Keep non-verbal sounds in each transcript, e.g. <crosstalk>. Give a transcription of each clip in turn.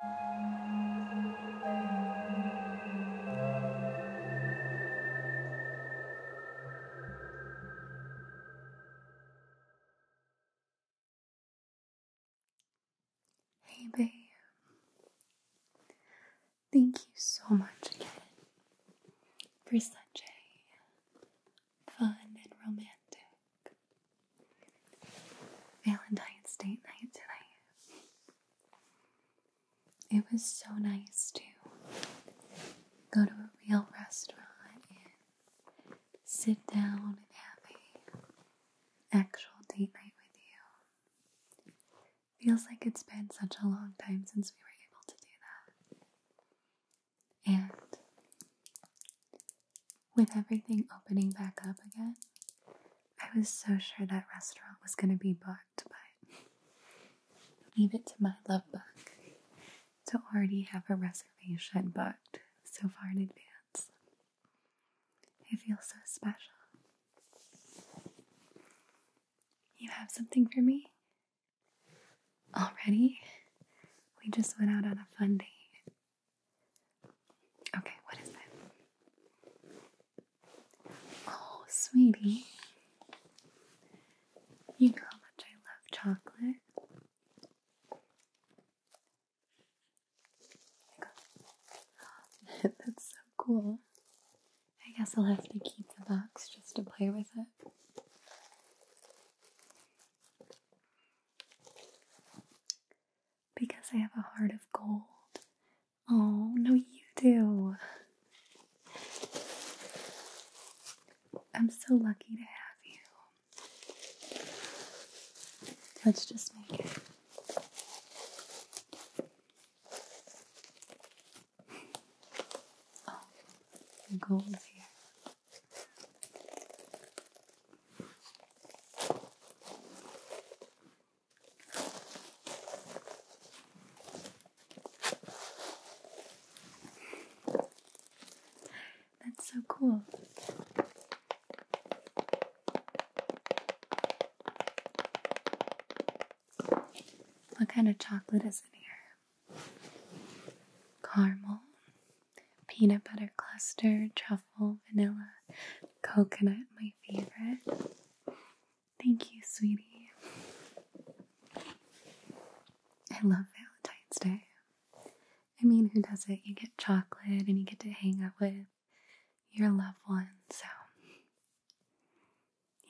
Hey, babe. Thank you so much again for such a fun and romantic Valentine's Day night tonight. It was so nice to go to a real restaurant and sit down and have a actual date night with you. Feels like it's been such a long time since we were able to do that. And with everything opening back up again, I was so sure that restaurant was going to be booked, but leave it to my love bug to already have a reservation booked so far in advance. I feel so special. You have something for me? Already? We just went out on a fun date Okay, what is that? Oh, sweetie. You know how much I love chocolate. <laughs> That's so cool. I guess I'll have to keep the box just to play with it because I have a heart of gold. Oh, no, you do. I'm so lucky to have you. Let's just make it. Oh, gold here. That's so cool. What kind of chocolate is in here? Caramel, peanut butter cluster, truffle, vanilla, Coconut, my favorite. Thank you, sweetie. I love Valentine's Day. I mean, who does it? You get chocolate and you get to hang out with your loved one, so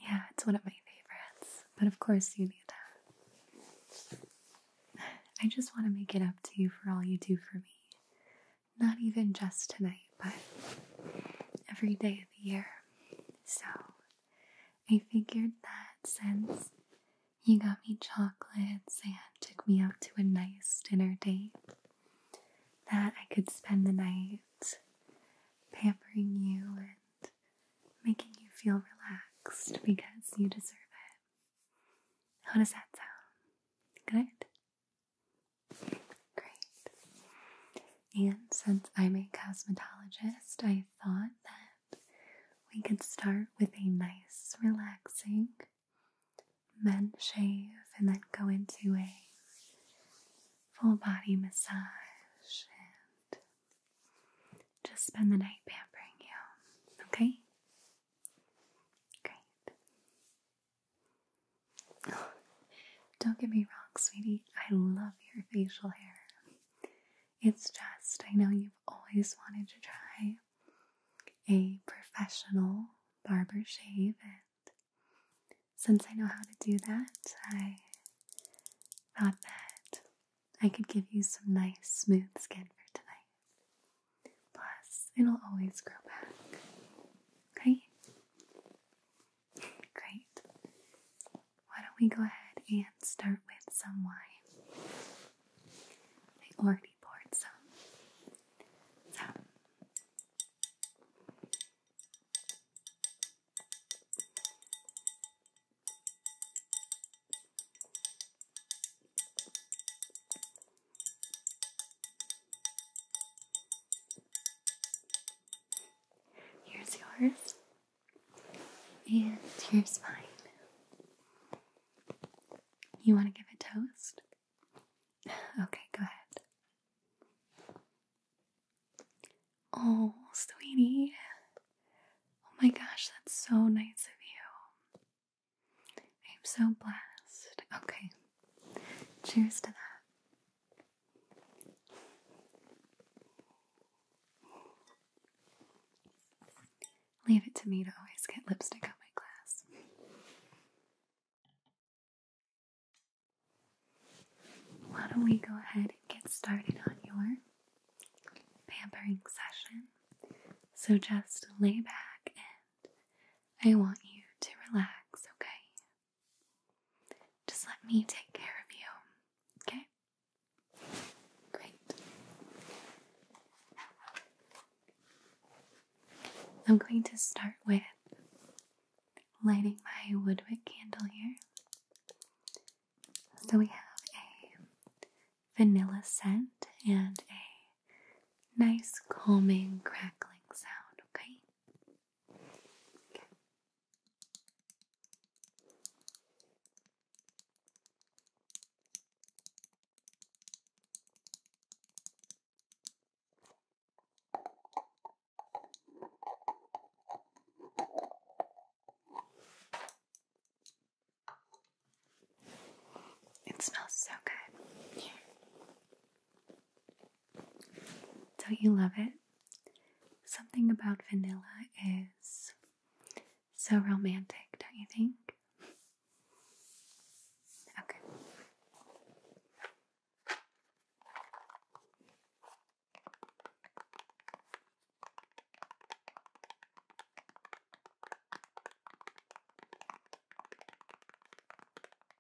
yeah, it's one of my favorites. But of course, you need to. I just want to make it up to you for all you do for me not even just tonight, but every day of the year. So I figured that since you got me chocolates and took me out to a nice dinner date, that I could spend the night pampering you and making you feel relaxed because you deserve it. How does that sound? Good? Great. And since I'm a cosmetologist, I thought that we could start with a nice, relaxing men shave and then go into a full body massage and just spend the night pampering you. Okay? Great. Don't get me wrong, sweetie. I love your facial hair. It's just, I know you've always wanted to try a professional barber shave, and since I know how to do that, I thought that I could give you some nice, smooth skin for tonight. Plus, it'll always grow back. Okay? Great. Why don't we go ahead and start with some wine? I already poured some. So. Here's yours, and here's mine. You want to give a toast? <sighs> Okay, go ahead. Oh, sweetie. Oh my gosh, that's so nice of you. I'm so blessed. Okay. Cheers to that. Leave it to me to always get lipstick on my glass. Why don't we go ahead and get started on your pampering session? So just lay back and I want you to relax, okay? Just let me take care of you, okay? Great. I'm going to start with lighting my woodwick candle here. So we have a vanilla scent and a nice, calming, crackling sound, okay? It smells so good. Don't you love it? Something about vanilla is so romantic, don't you think? Okay.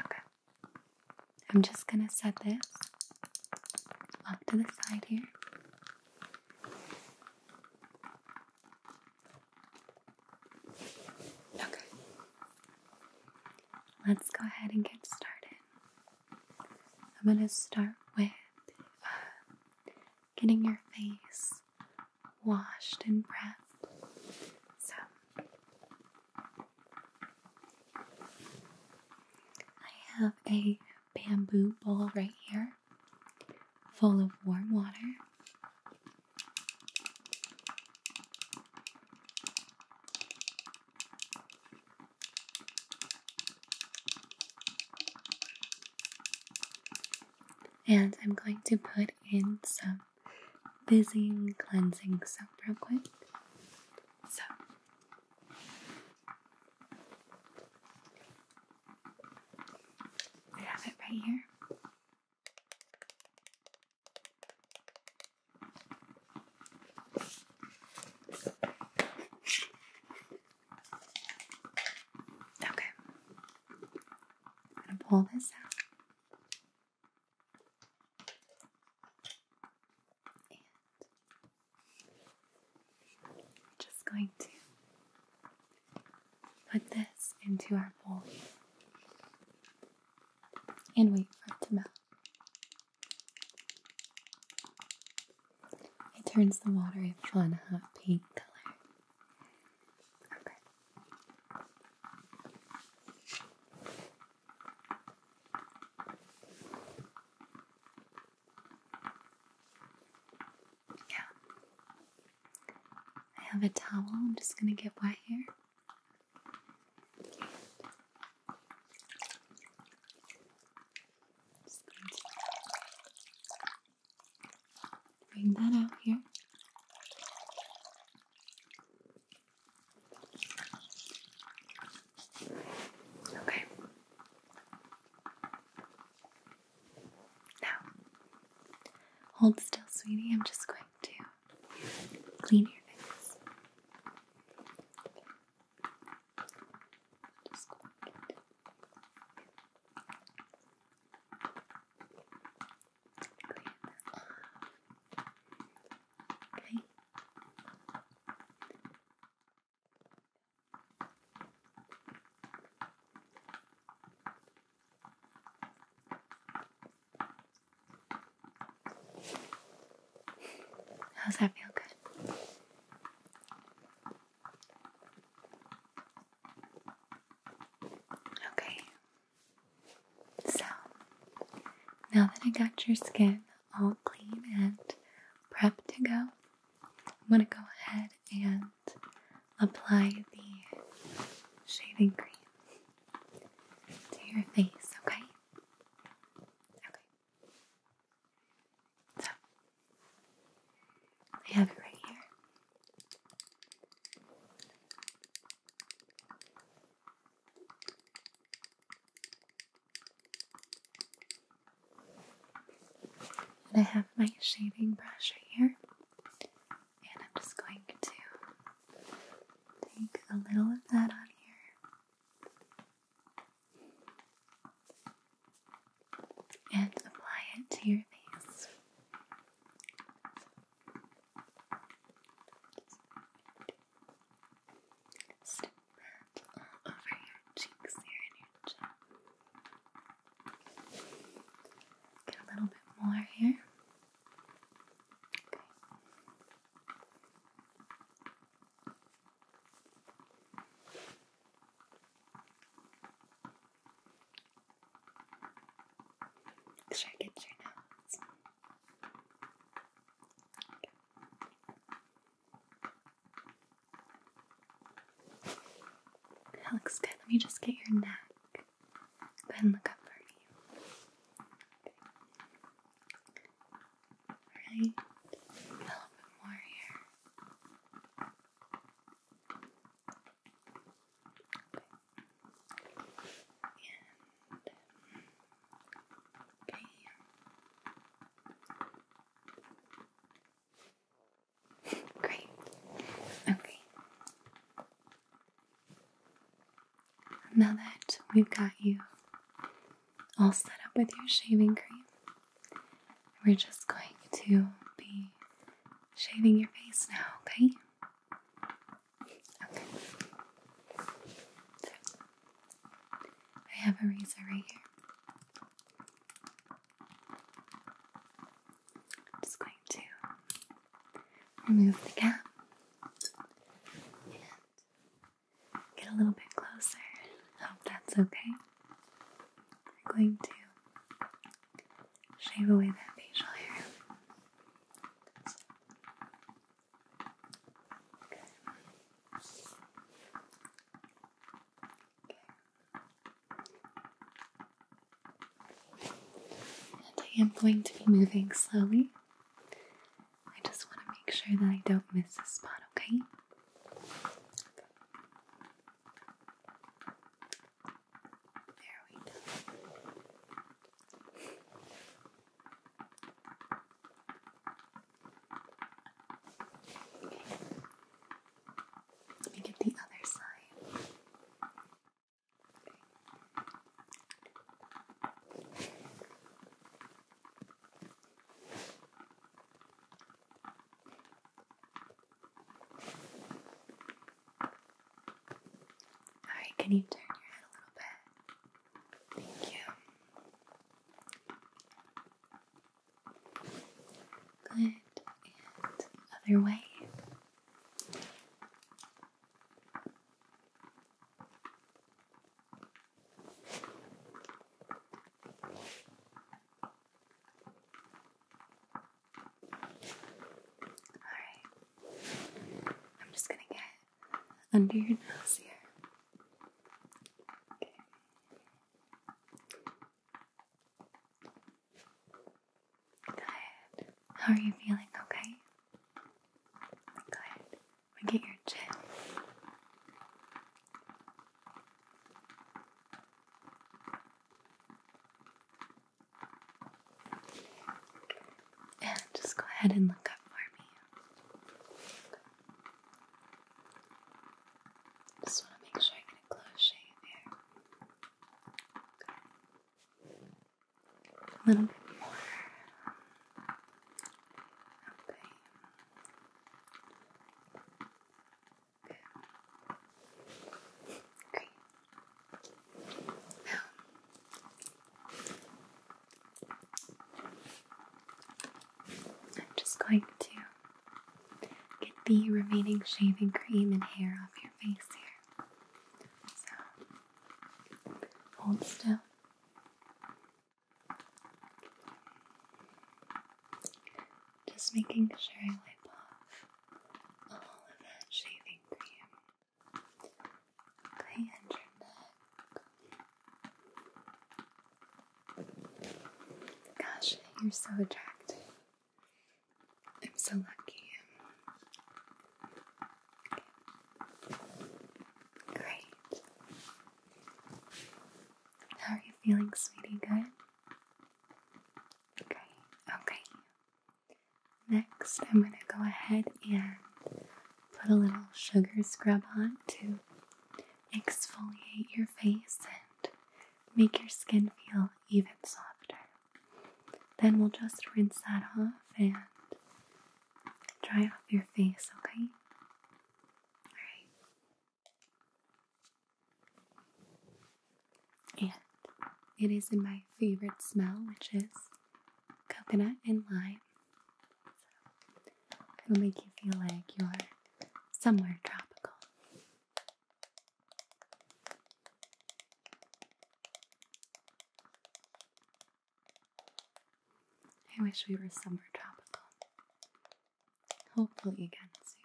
Okay. I'm just going to set this off to the side here. Okay let's go ahead and get started. I'm going to start with uh, getting your face washed and prepped. So, I have a bamboo bowl right here full of warm water. And I'm going to put in some fizzing cleansing soap real quick. So, I have it right here. Okay. I'm going to pull this out. And I'm just going to put this into our bowl and wait for it to melt. It turns the water a fun hot pink color. Okay. Yeah. I have a towel I'm just going to get wet here bring that out here. Okay. Now, hold still, sweetie. I'm just going to clean your face. Okay. How's that feel good? Okay. So, now that I got your skin all clean and prepped to go, I'm going to go ahead and apply the shaving cream to your face, okay? So, I have it right here. And I have my shaving brush right here. And I'm just going to take a little of that on here and apply it to your face. Stick over your cheeks and your chin. Get a little bit more here. Should I get your notes? That looks good. Let me just get your neck. Go ahead and look up for me. Right? A little bit more here. okay. <laughs> Great. Okay now that we've got you all set up with your shaving cream, we're just going to be shaving your face now, okay? Okay. I have a razor right here. just going to remove the cap Get a little bit closer. Hope oh, that's okay. We're going to shave away that facial hair. Okay. And I am going to be moving slowly I just want to make sure that I don't miss a spot, okay? There we go. Okay. Let me get the other side. Okay. Alright, can you turn your head a little bit? Thank you. Good. And other way. Alright. I'm just gonna get under your nose here. Good. How are you feeling? Okay? Good and get your chin. And just go ahead and look up for me. Just want to make sure I get a close shave here. A little bit more. Okay. Good. Great. Now, I'm just going to get the remaining shaving cream and hair off your face here. So, hold still. Just making sure I wipe off all of that shaving cream. Okay, and your neck. Gosh, you're so attractive. I'm so lucky. Great. How are you feeling, sweetie? Good? Okay, okay. Next, I'm going to go ahead and put a little sugar scrub on to exfoliate your face and make your skin feel even softer. Then we'll just rinse that off and dry off your face, okay? Alright. And it is in my favorite smell, which is coconut and lime. it'll make you feel like you're somewhere tropical. I wish we were somewhere tropical. Hopefully, again soon.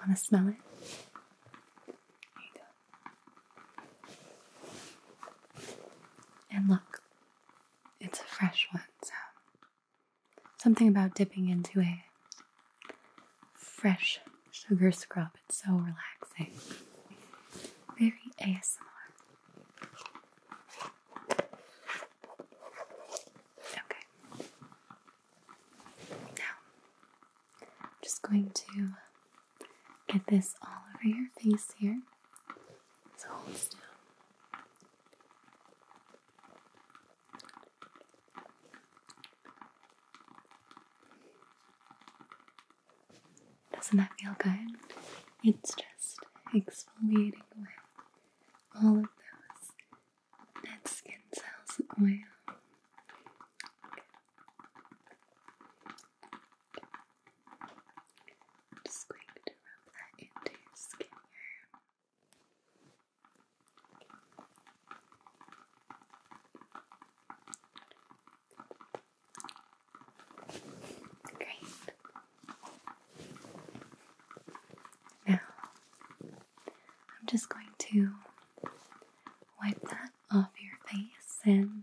Want to smell it? And look, it's a fresh one, so something about dipping into a fresh sugar scrub. It's so relaxing. Very ASMR. Okay. Now, I'm just going to get this all over your face here. So hold still. Doesn't that feel good? It's just exfoliating away all of those dead skin cells oil. Good. I'm just going to rub that into your skin Great. Now, I'm just going to wipe that off your face and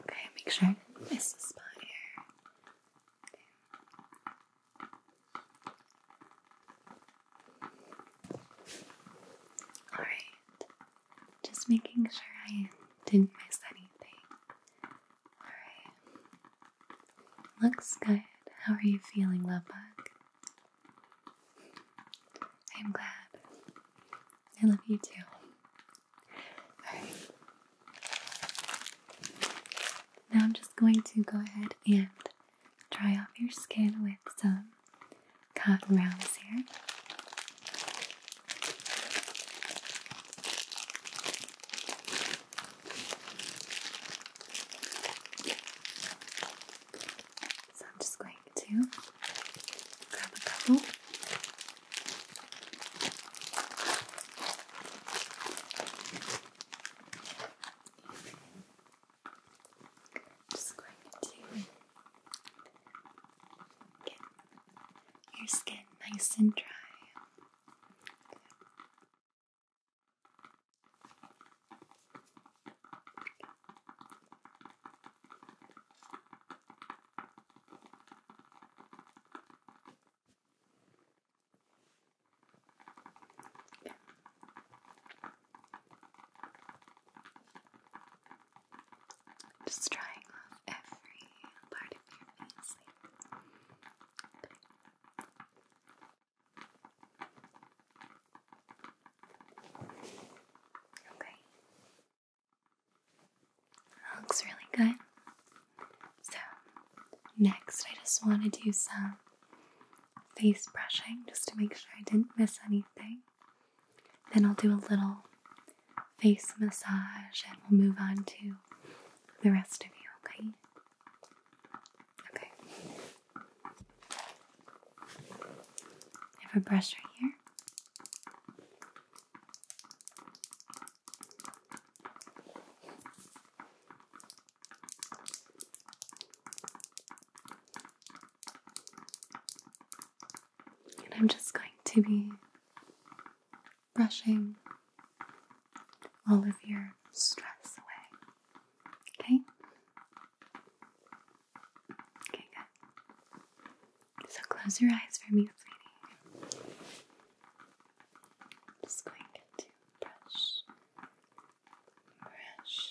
Okay, make sure I didn't miss the spot here. Alright, just making sure I didn't miss anything. Alright, looks good. How are you feeling, love bug? I'm glad. I love you too. Now I'm just going to go ahead and dry off your skin with some cotton rounds here. So I'm just going to grab a couple just going to get your skin nice and dry. Good. Just trying every part of your face. Okay looks really good. So, next I just want to do some face brushing just to make sure I didn't miss anything. Then I'll do a little face massage and we'll move on to the rest of you, okay? Okay. have a brush right here. And I'm just going to be brushing all of your stress away. Okay? Okay, good. So close your eyes for me, sweetie just going to brush, brush your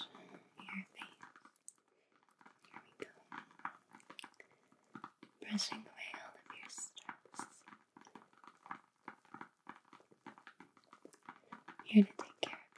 face. Here we Brushing away all of your stress. Here to take care of you.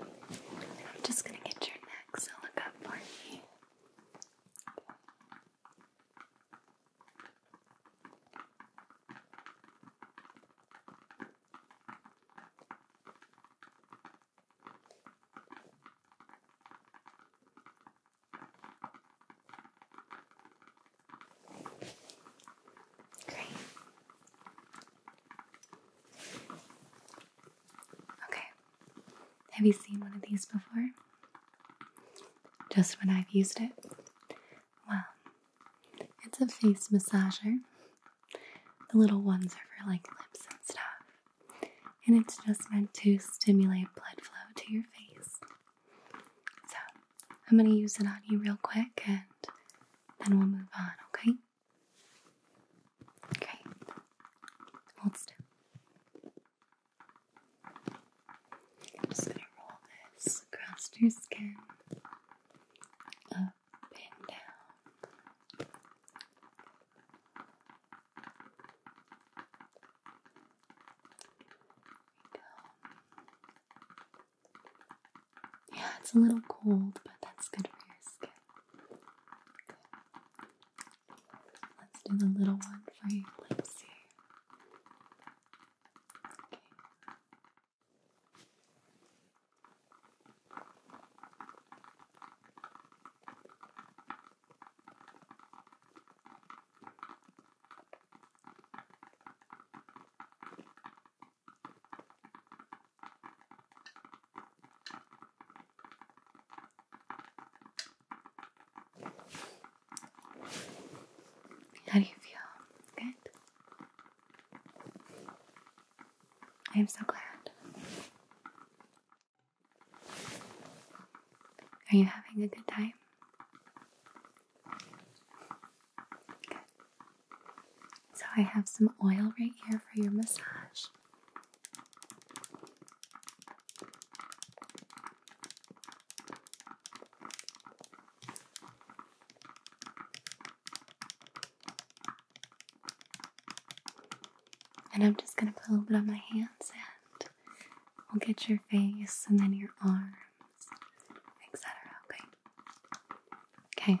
I'm just going to get your neck, so look up for me. Great. Okay. Have you seen one of these before? Just when I've used it? Well, it's a face massager. The little ones are for like lips and stuff. And it's just meant to stimulate blood flow to your face. So, I'm going to use it on you real quick and then we'll move on, okay? Okay. Hold still. I'm just gonna roll this across your skin. Up and down. go. Yeah, it's a little cold, but that's good for your skin. Let's do the little one for your lips here. Okay. Okay. How do you feel? Good. I am so glad. Are you having a good time? So I have some oil right here for your massage. And I'm just going to put a little bit on my hands and we'll get your face and then your arms, etc. Okay. Okay.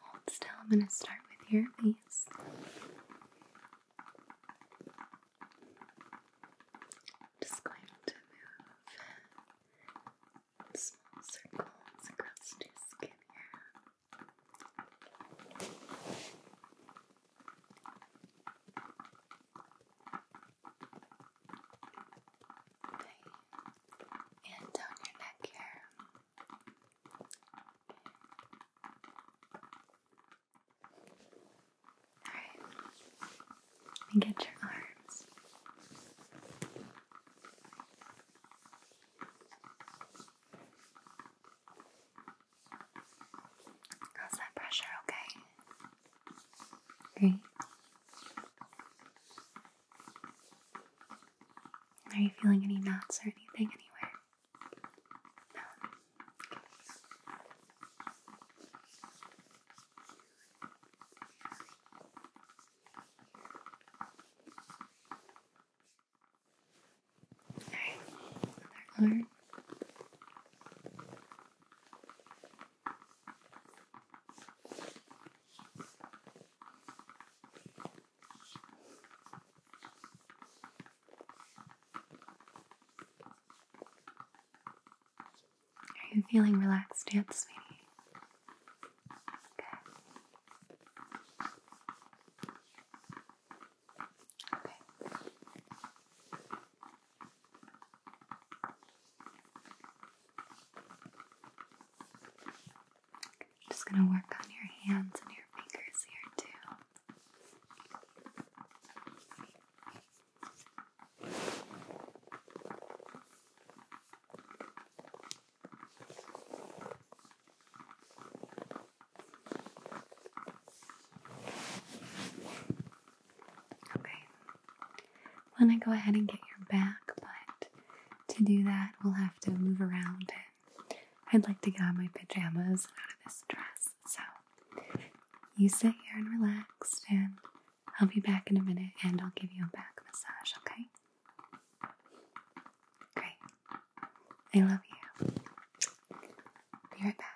hold still. I'm going to start with your face. Just going to move small circles across your skin here. And down your neck here. Alright. me get your arms. How's that pressure? Okay. Great. Are you feeling any knots or anything anywhere? No. Alright, another arm. Are you feeling relaxed yet, sweetie? Okay. Okay. I'm just going to work on your hands and your fingers here too. Okay. i to go ahead and get your back, but to do that, we'll have to move around it. I'd like to get on my pajamas out of this dress, so you sit here and relax, and I'll be back in a minute and I'll give you a back massage, okay? Great. I love you. Be right back.